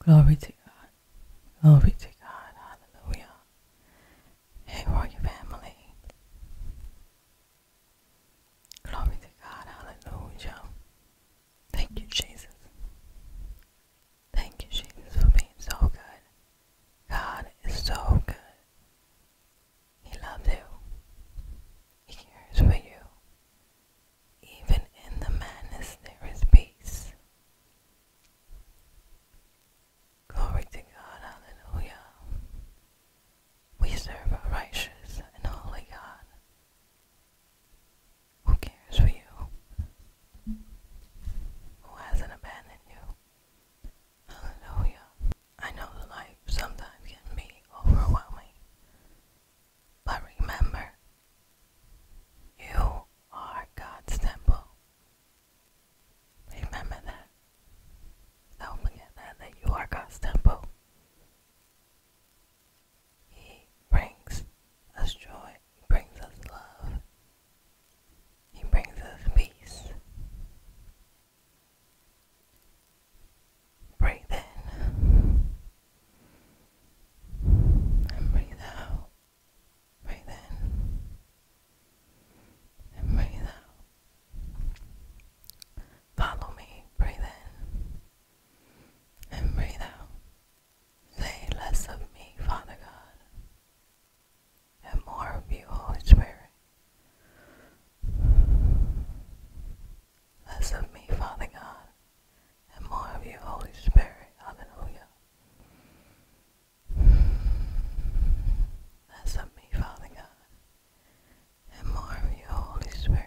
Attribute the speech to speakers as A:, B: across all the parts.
A: Glory to God. Glory to God. Hallelujah. Hey, royal family. Glory to God. Hallelujah. Thank you, Jesus. Thank you, Jesus, for being so good. God is so good. He loves you. He cares for you. Even in the madness, there is peace. Glory to God. Hallelujah. We serve a righteous and holy God. Who cares for you? Who hasn't abandoned you? Hallelujah. I know the life sometimes can be overwhelming. But remember, you are God's temple. Remember that. Don't forget that, that you are God's temple. He brings us joy, He brings us love, He brings us peace. Breathe in and breathe out. Breathe in and breathe out. Follow me. Breathe in and breathe out. Say less of me, Father God, and more of you, Holy Spirit. Less of me, Father God, and more of you, Holy Spirit. Hallelujah. Less of me, Father God, and more of you, Holy Spirit.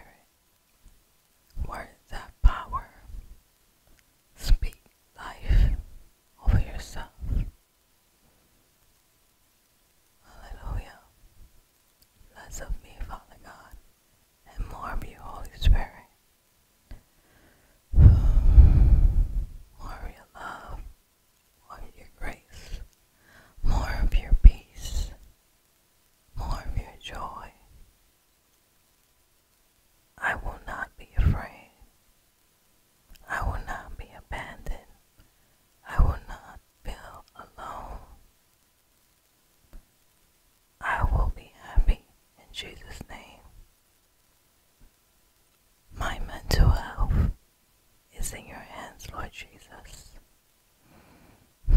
A: Words have power. Speak life over yourself. Hallelujah. Less of me, Father God, and more of you, Holy Spirit. More of your love, more of your grace, more of your peace, more of your joy, I will not be afraid. I will not be abandoned. I will not feel alone. I will be happy in Jesus' name. My mental health is in your hands, Lord Jesus. I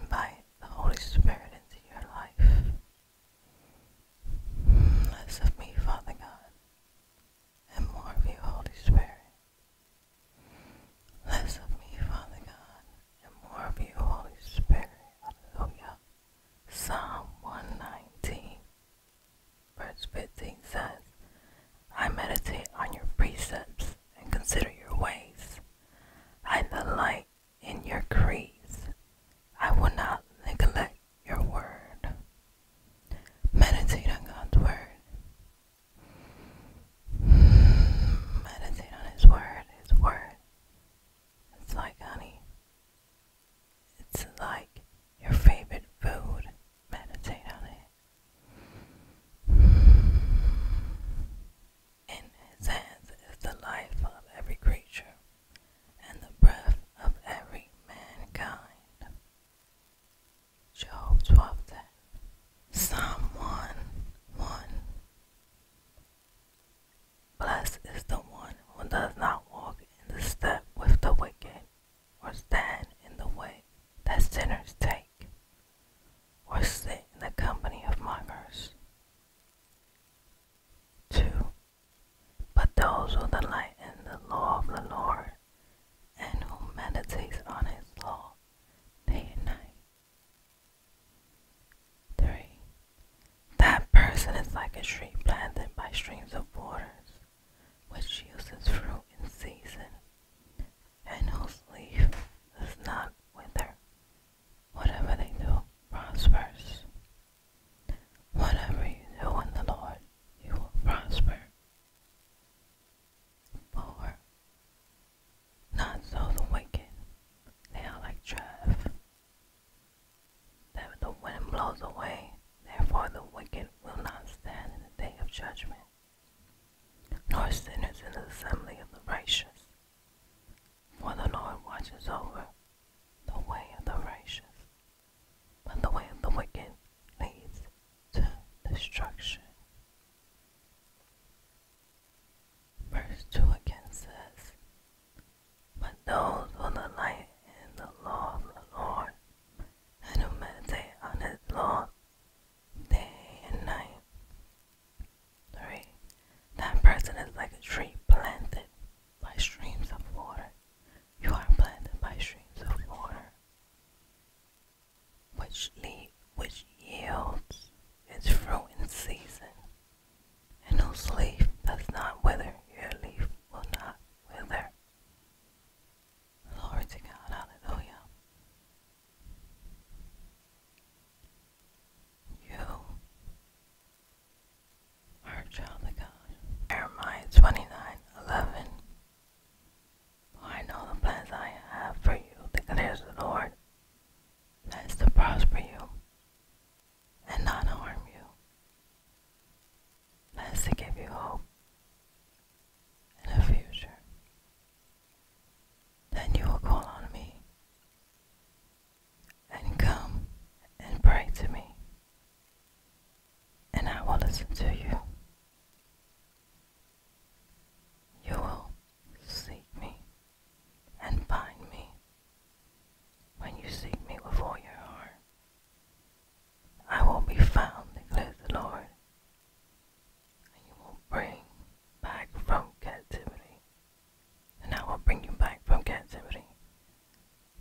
A: invite the Holy Spirit into your life. Less of me, Father God, and more of you, Holy Spirit. Less of me, Father God, and more of you, Holy Spirit. Hallelujah. Psalm 119, Verse fifteen says, I meditate on your precepts and consider your ways. I delight in your creeds. I will not neglect your word. Meditate on God's word. Hmm, meditate on His word. His word. It's like honey. It's like your favorite food. Meditate on it. In his hands is the life of every creature and the breath of every mankind. Job 12 Psalm 1 1. Blessed is the one who does not walk in the step with the wicked, or stand in the way that sinners take, or sit in the company of mockers. 2. But those who delight in the law of the Lord, and who meditates on his law day and night. 3. That person is like a tree planted by streams of waters which uses fruit in season and whose leaf does not wither. Whatever they do prospers. Whatever you do in the Lord, you will prosper. Four. Not so the wicked, they are like chaff that the wind blows away, therefore the wicked will not stand in the day of judgment, nor sinners in the assembly of the righteous. For the Lord watches over the way of the righteous, but the way of the wicked leads to destruction. Verse 2 again says, but those who delight in the law of the Lord, and who meditate on his law day and night. Three, that person is like a tree planted by streams of water. You are planted by streams of water, which lead, which yields its fruit in season, and whose leaf does not wither, your leaf will not wither. Glory to God, hallelujah. You are a child of God. Jeremiah 29 I know the plans I have for you, declares the Lord. Plans to prosper you and not harm you. That's to give you hope and a future. Then you will call on me and come and pray to me, and I will listen to you. You will seek me and find me. When you seek me with all your heart, I will be found, declares the Lord, and you will bring back from captivity, and I will bring you back from captivity.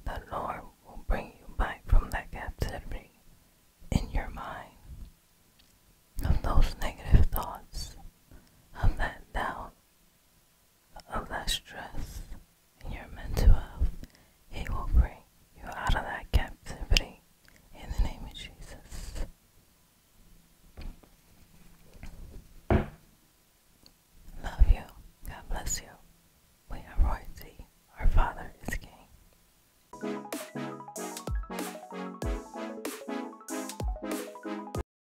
A: The Lord will bring you back from that captivity in your mind of those negative thoughts, of that doubt, of that stress in your mental health, It will bring you out of that captivity in the name of Jesus. Love you. God bless you. We are royalty. Our Father is King.